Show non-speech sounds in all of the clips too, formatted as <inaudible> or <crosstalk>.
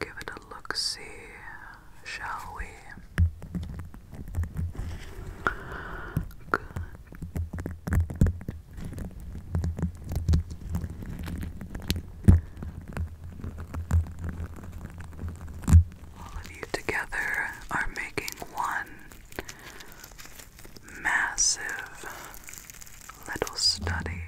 Give it a look see, shall we? Good. All of you together are making one massive little study.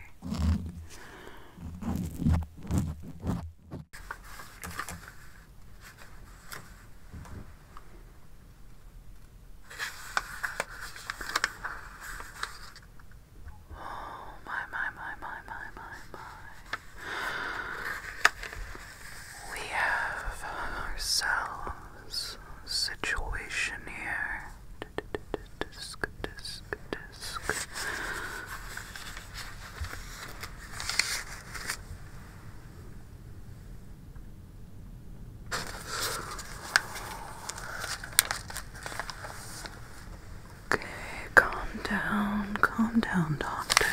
Oh my my my my my my my We have ourselves situation here. Okay, calm down, calm down, doctor.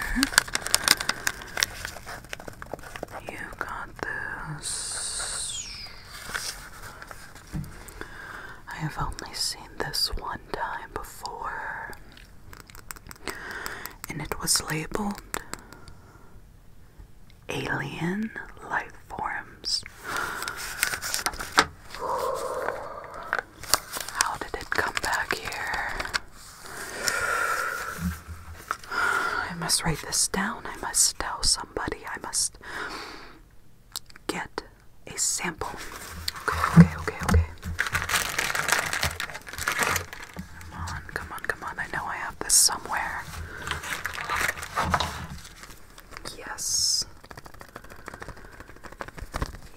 You got this. I have only seen this one time before, and it was labeled alien life forms. How did it come back here? I must write this down. I must tell somebody. I must get a sample. Okay, okay, okay, Come on, come on, come on. I know I have this somewhere. Yes.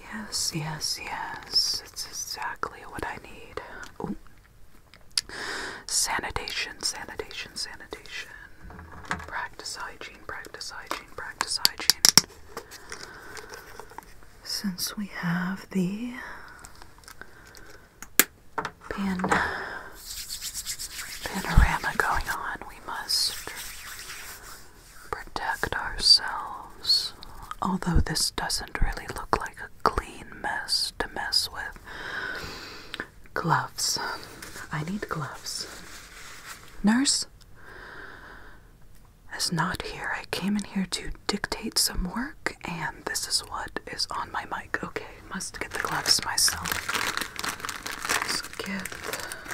Yes, yes, yes. It's exactly what I need. Ooh. Sanitation, sanitation, sanitation. Practice hygiene, practice hygiene, practice hygiene. Since we have the pan panorama going on, we must protect ourselves. Although this doesn't really look like a clean mess to mess with. Gloves. I need gloves. Nurse is not here. I came in here to dictate some work, and this is what is on my mic. Okay, must get the gloves myself. let Okay,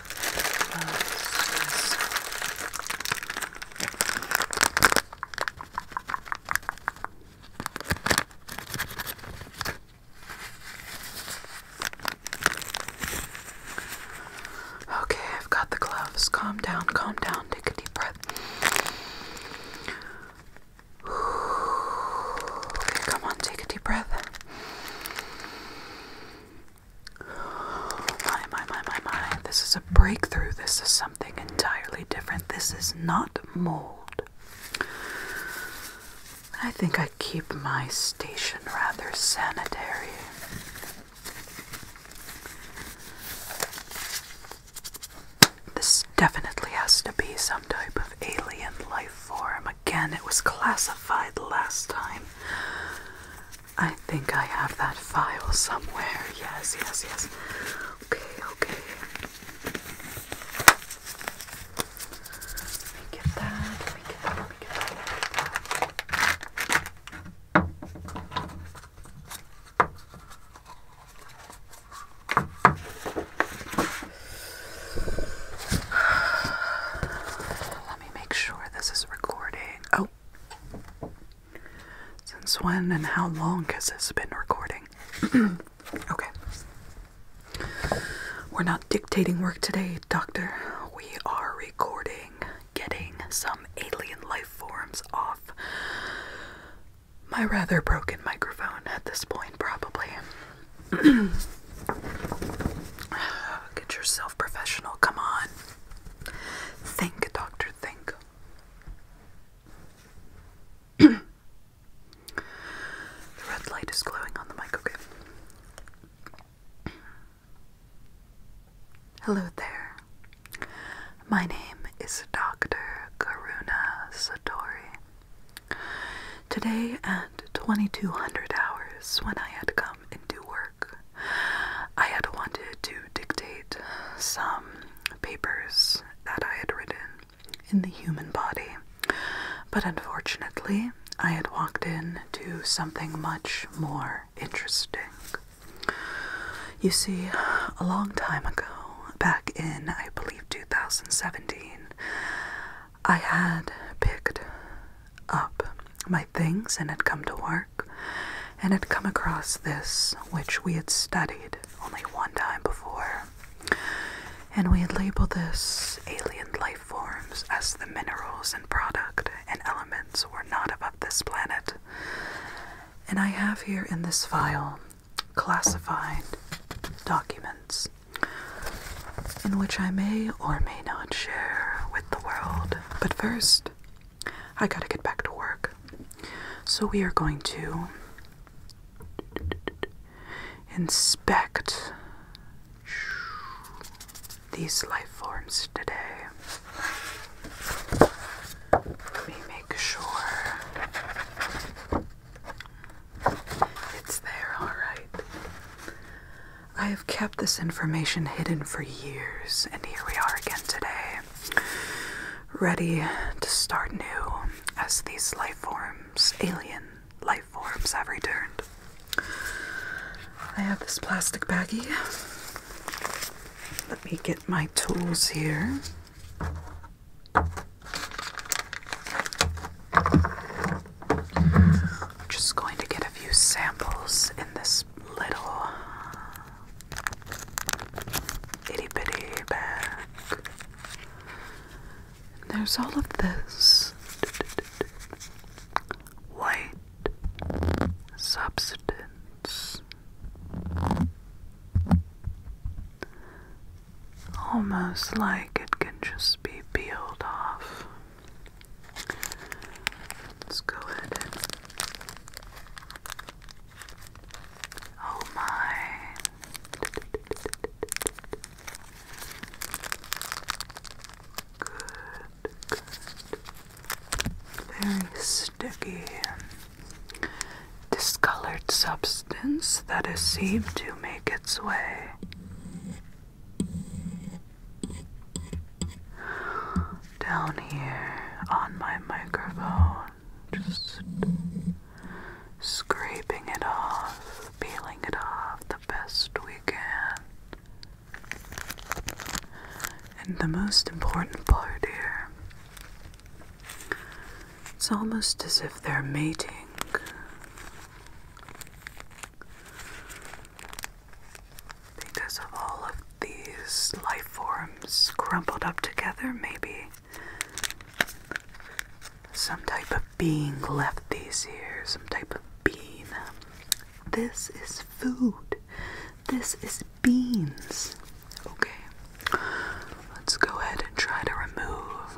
I've got the gloves. Calm down, calm down. Take a deep breath. <sighs> Okay, come on, take a deep breath. My, my, my, my, my. This is a breakthrough. This is something entirely different. This is not mold. I think I keep my station rather sanitary. This definitely has to be some type of alien life form. Again, it was classified last time. I think I have that file somewhere. Yes, yes, yes. Okay, okay. Let me get that. Let me get that. Let me get that. Let me make sure this is recording. Oh, since when and how long has this been recording? <clears throat> okay. We're not dictating work today, Doctor. We are recording getting some alien life forms off my rather broken microphone at this point, probably. <clears throat> Get yourself professional, come on. Think, doctor, think. <clears throat> the red light is glowing on the mic, okay? Hello there. My name is Dr. Karuna Satori. Today at 2200 hours, when I had come um, work. I had wanted to dictate some papers that I had written in the human body, but unfortunately, I had walked into something much more interesting. You see, a long time ago, back in, I believe, 2017, I had picked up my things and had come to work and had come across this which we had studied only one time before. And we had labeled this alien life forms as the minerals and product and elements were not above this planet. And I have here in this file classified documents in which I may or may not share with the world. But first, I gotta get back to work. So we are going to inspect these life forms today. Let me make sure it's there, alright. I have kept this information hidden for years, and here we are again today, ready to start new as these life forms, alien life forms, have returned. I have this plastic baggie. Let me get my tools here. I'm Just going to get a few samples in this little uh, itty bitty bag. there's all of this white substance. Almost like it can just be peeled off. Let's go ahead Oh my. Good, good. Very sticky, discolored substance that is seen to make its way down here on my microphone, just scraping it off, peeling it off the best we can. And the most important part here, it's almost as if they're mating. Because of all of these life forms crumpled up together, maybe some type of being left these here, some type of bean. This is food. This is beans. Okay, let's go ahead and try to remove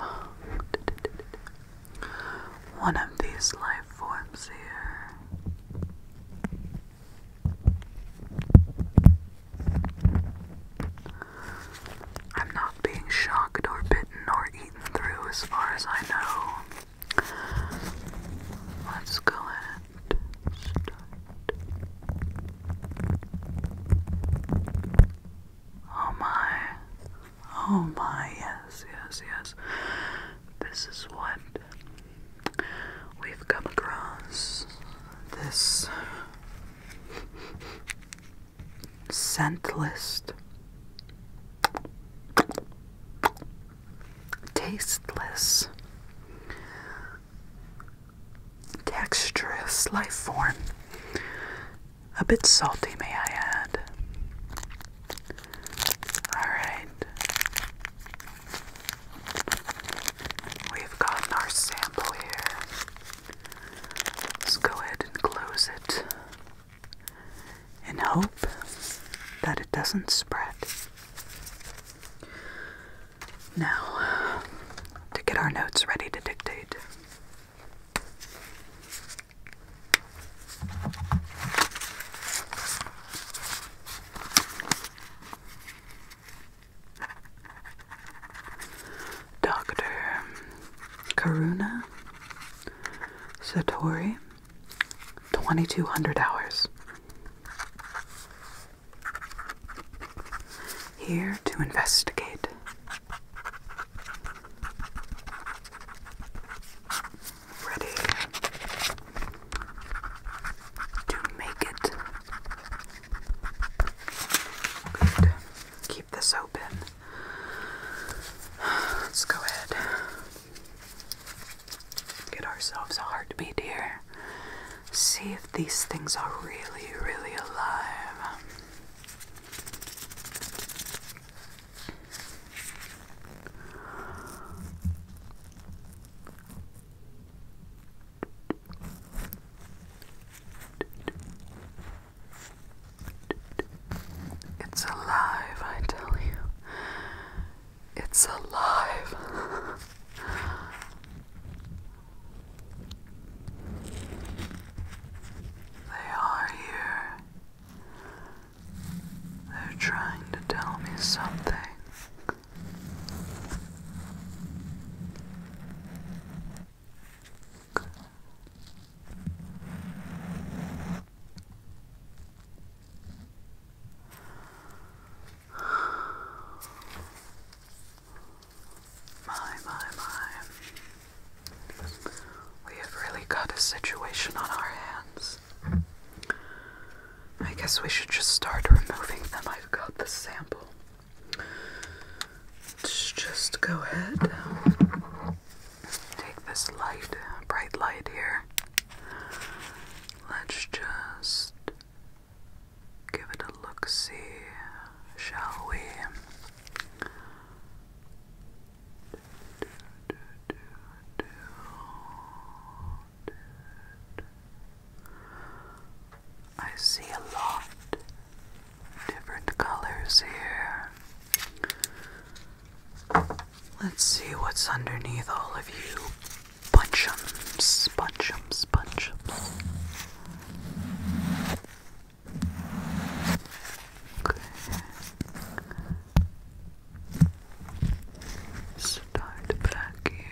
one of these life forms here. I'm not being shocked or bitten or eaten through as far as I know. Let's go ahead. Oh my. Oh my, yes, yes, yes. This is what we've come across this scent list, tasteless, textureless life form, a bit salty, may I add. Alright. We've gotten our sample here. Let's go ahead and close it and hope that it doesn't spread. Now, to get our notes ready to dictate. Dr. Karuna Satori, 2200 hours. Here to investigate ready to make it. Good. Keep this open. Let's go ahead. Get ourselves a heartbeat dear. See if these things are really, really alive. It's alive, I tell you. It's alive. they are here. They're trying to tell me something. My, my, my. We have really got a situation on our hands. I guess we should just start removing them. I've got the sample. Let's just go ahead. Take this light, bright light here. Let's just give it a look see, shall we? I see a lot different colors here. Let's see what's underneath all of you. Bunchums, bunchums, bunchums. Start back here.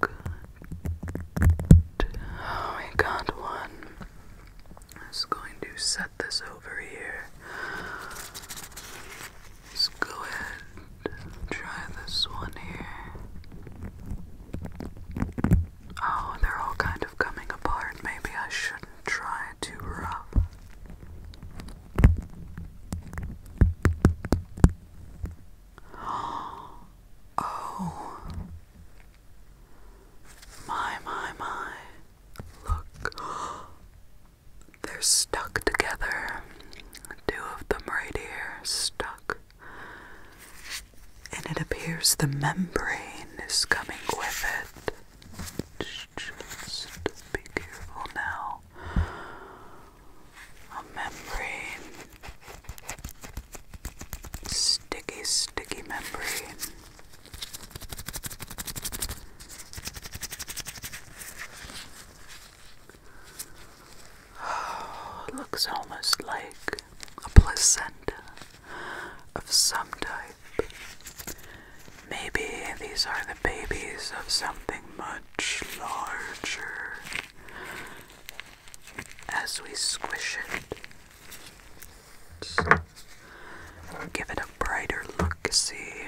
Good. Oh, we got one. just going to set this over here. Let's go ahead try this one here. Oh, they're all kind of coming apart. Maybe I shouldn't try to rub. <gasps> Oh. My, my, my. Look. <gasps> They're stuck together. Two of them right here, stuck and it appears the membrane is coming with it. Just be careful now. A membrane. Sticky, sticky membrane. Oh, <sighs> looks almost like a placenta of some type. Maybe these are the babies of something much larger. As we squish it, give it a brighter look, see.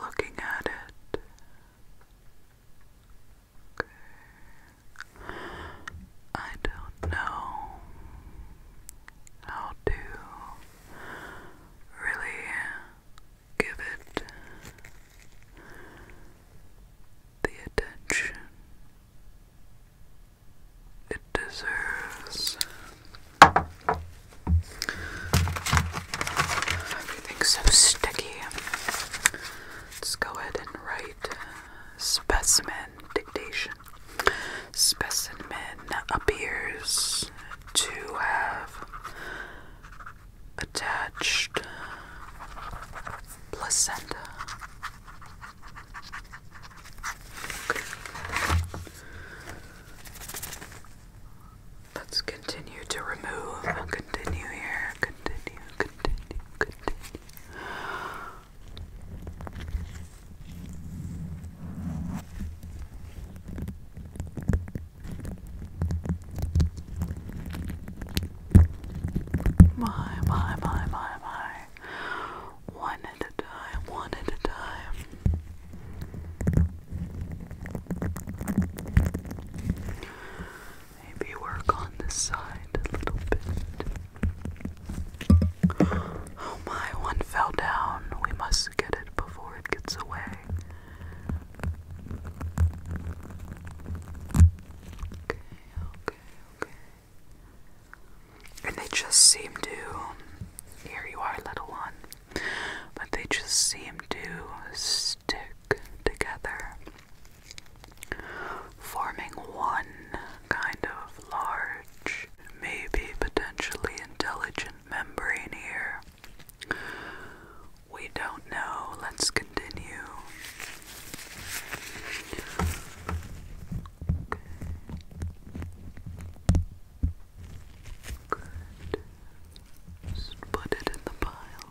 Looking at it, I don't know how to really give it the attention it deserves. Everything's so sticky. Let's go ahead and write uh, specimen dictation. Specimen appears to have attached placenta. Let's continue to remove continue here. Continue, continue, continue. My, my, my, my, my. One at a time, one at a time. Maybe work on this side a little bit. Oh my, one fell down. We must get it before it gets away. Okay, okay, okay. And they just seem to. Here you are, little one. But they just seem to stick together forming one kind of large, maybe potentially intelligent membrane here. We don't know. Let's continue. Okay. Good. Just put it in the pile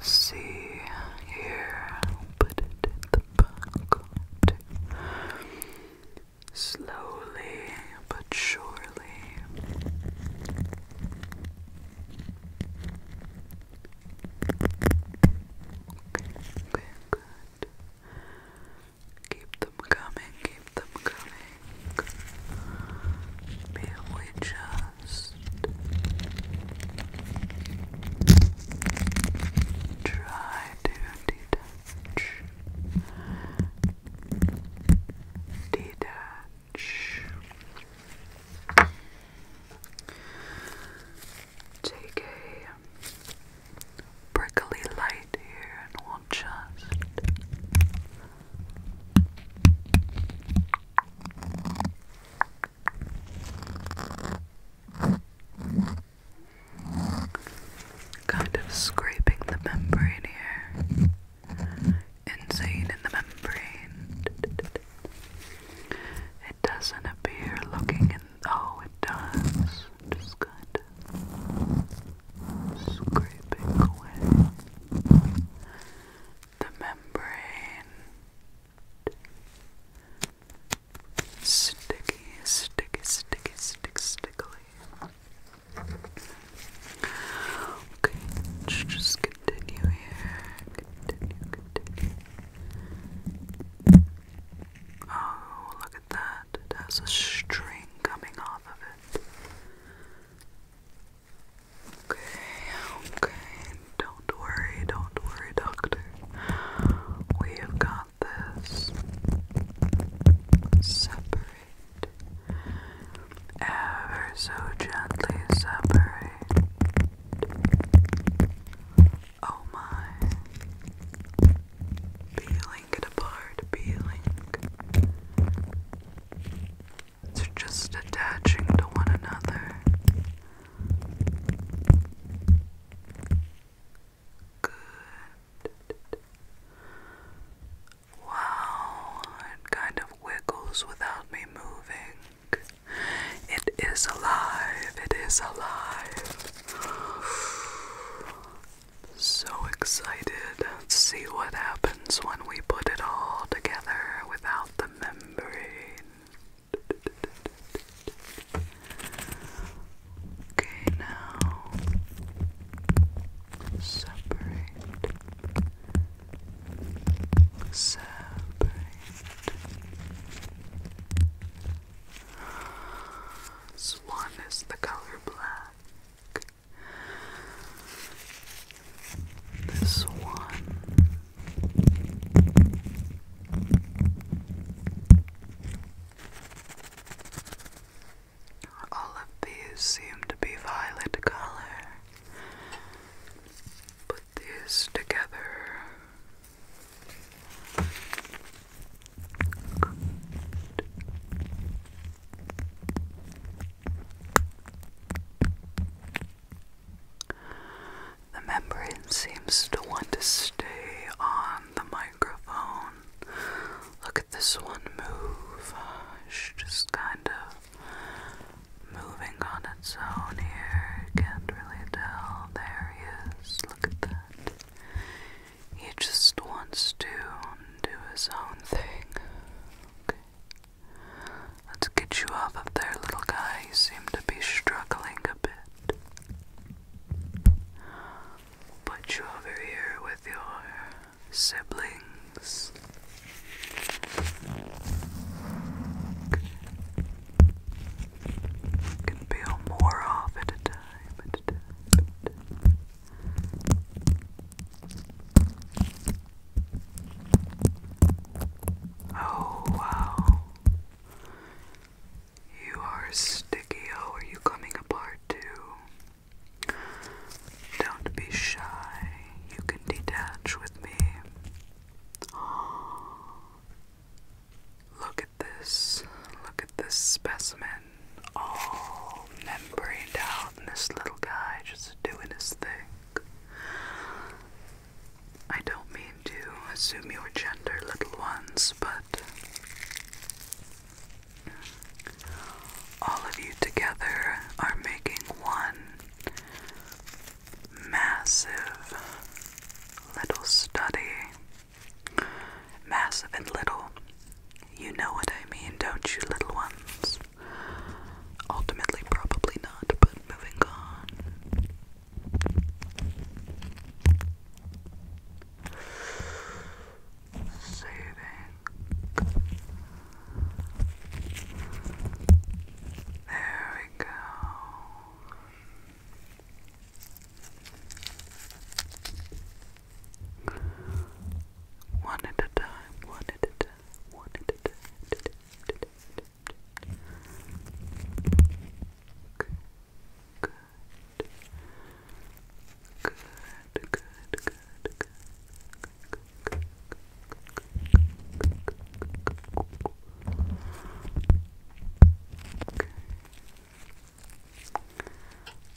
See here, put it in the pocket. Slowly but surely. Okay, good. Keep them coming, keep them coming. Maybe we just try to detach, detach. Take a prickly light here, and just. Kind of scraping the membrane here. Insane in the membrane. It doesn't appear looking in. Oh, it does. Just good. Scraping away the membrane. Sticky, sticky, sticky, stick, stickly. Okay, let's just continue here. Continue, continue. Oh, look at that. It has a string coming off of it. Okay, okay. Don't worry, don't worry, doctor. We have got this. Separate. Ever so gently separate. Oh my. Peeling it apart, peeling. It's just attaching to one another. Good. Wow, it kind of wiggles without me moving. It is alive, it is alive. So excited. see what happens when we put it all together without the membrane. Okay, now separate, separate. Swan is the color black this one. All of these seem to be violet color. Put these together. The membrane seems to want to stay on the microphone. Look at this one move. just kind of moving on its own here. Can't really tell. There he is. Look at that. He just wants to do his own thing. Okay. Let's get you off of there, little guy. You seem to be struggling a bit. put you over here with your siblings. can peel more off at a time. Oh wow. You are sticky. Oh, are you coming apart too? Don't be shy. You can detach with me. Oh, <gasps> look at this. Look at this specimen. All membraned out, and this little guy just doing his thing. I don't mean to assume your gender, little ones, but all of you together are making one massive little study. Massive and little. You know what I mean, don't you, little ones? Ultimately, probably not, but moving on. Soothing. There we go. One at a time, one at a time, one at a time good,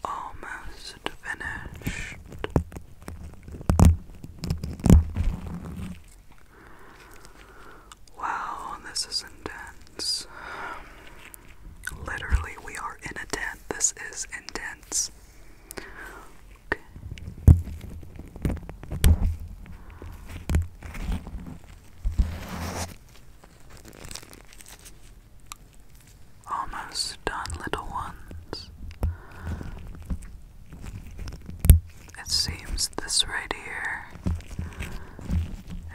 Almost finished. Wow, this is intense. Literally, we are in a tent. This is intense. Almost done, little ones. It seems this right here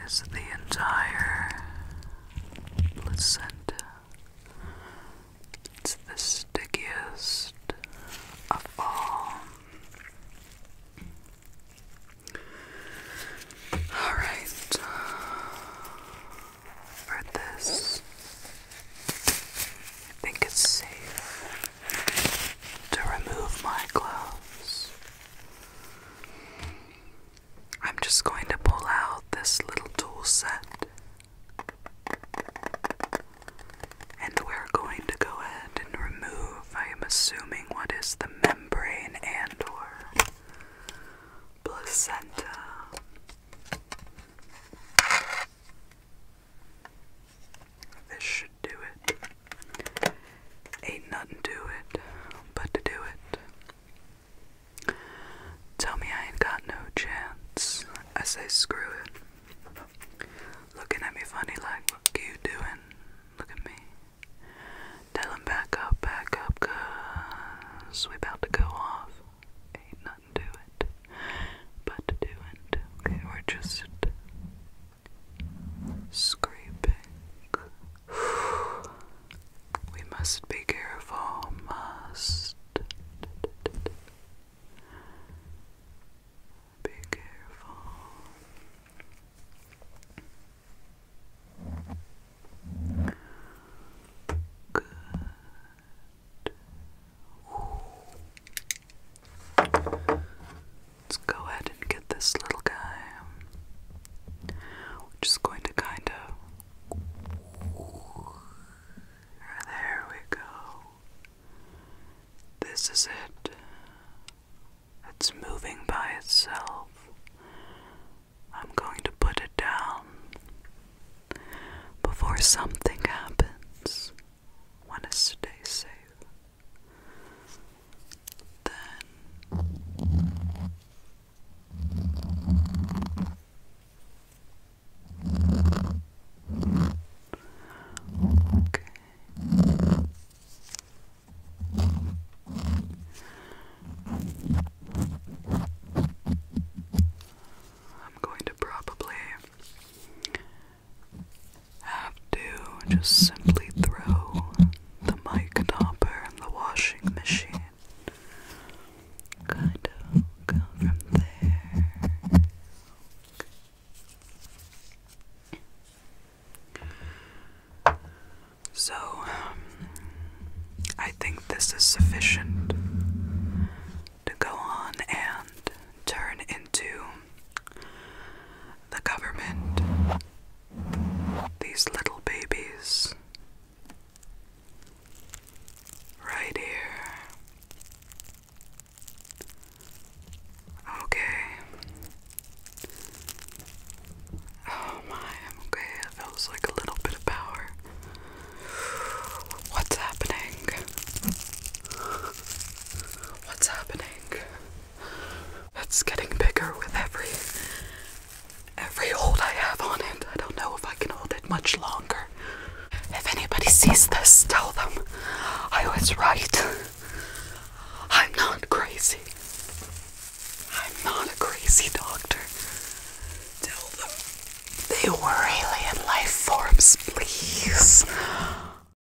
is the entire placenta. It's the stickiest of all. Alright, for this, I think it's safe to remove my gloves. I'm just going to pull out this little tool set and we're going to go ahead and remove, I am assuming, what is the membrane and or placenta. This should do it. Ain't nothing to it but to do it. Tell me I ain't got no chance. I say screw it. Looking at me funny like, what you doing? Look at me. Tell back up, back up, cause to go off. Ain't nothing to it but to do it. Okay, we're just Scraping. <sighs> We must be careful. Must be careful. Good. Let's go ahead and get this little guy. We're just going to kind of. There we go. This is it. It's moving by itself. I'm going to put it down before something happens want to stay safe, then okay. I'm going to probably have to just simply throw the mic topper in the washing machine. Kind of go from there. So, um, I think this is sufficient to go on and turn into the government, these little babies right here. Okay. Oh my, I'm okay, it feels like a little bit of power. What's happening? What's happening? It's getting bigger with every every hold I have on it. I don't know if I can hold it much longer. If anybody sees this, tell them I was right. I'm not crazy. I'm not a crazy doctor. Tell them they were alien life forms, please.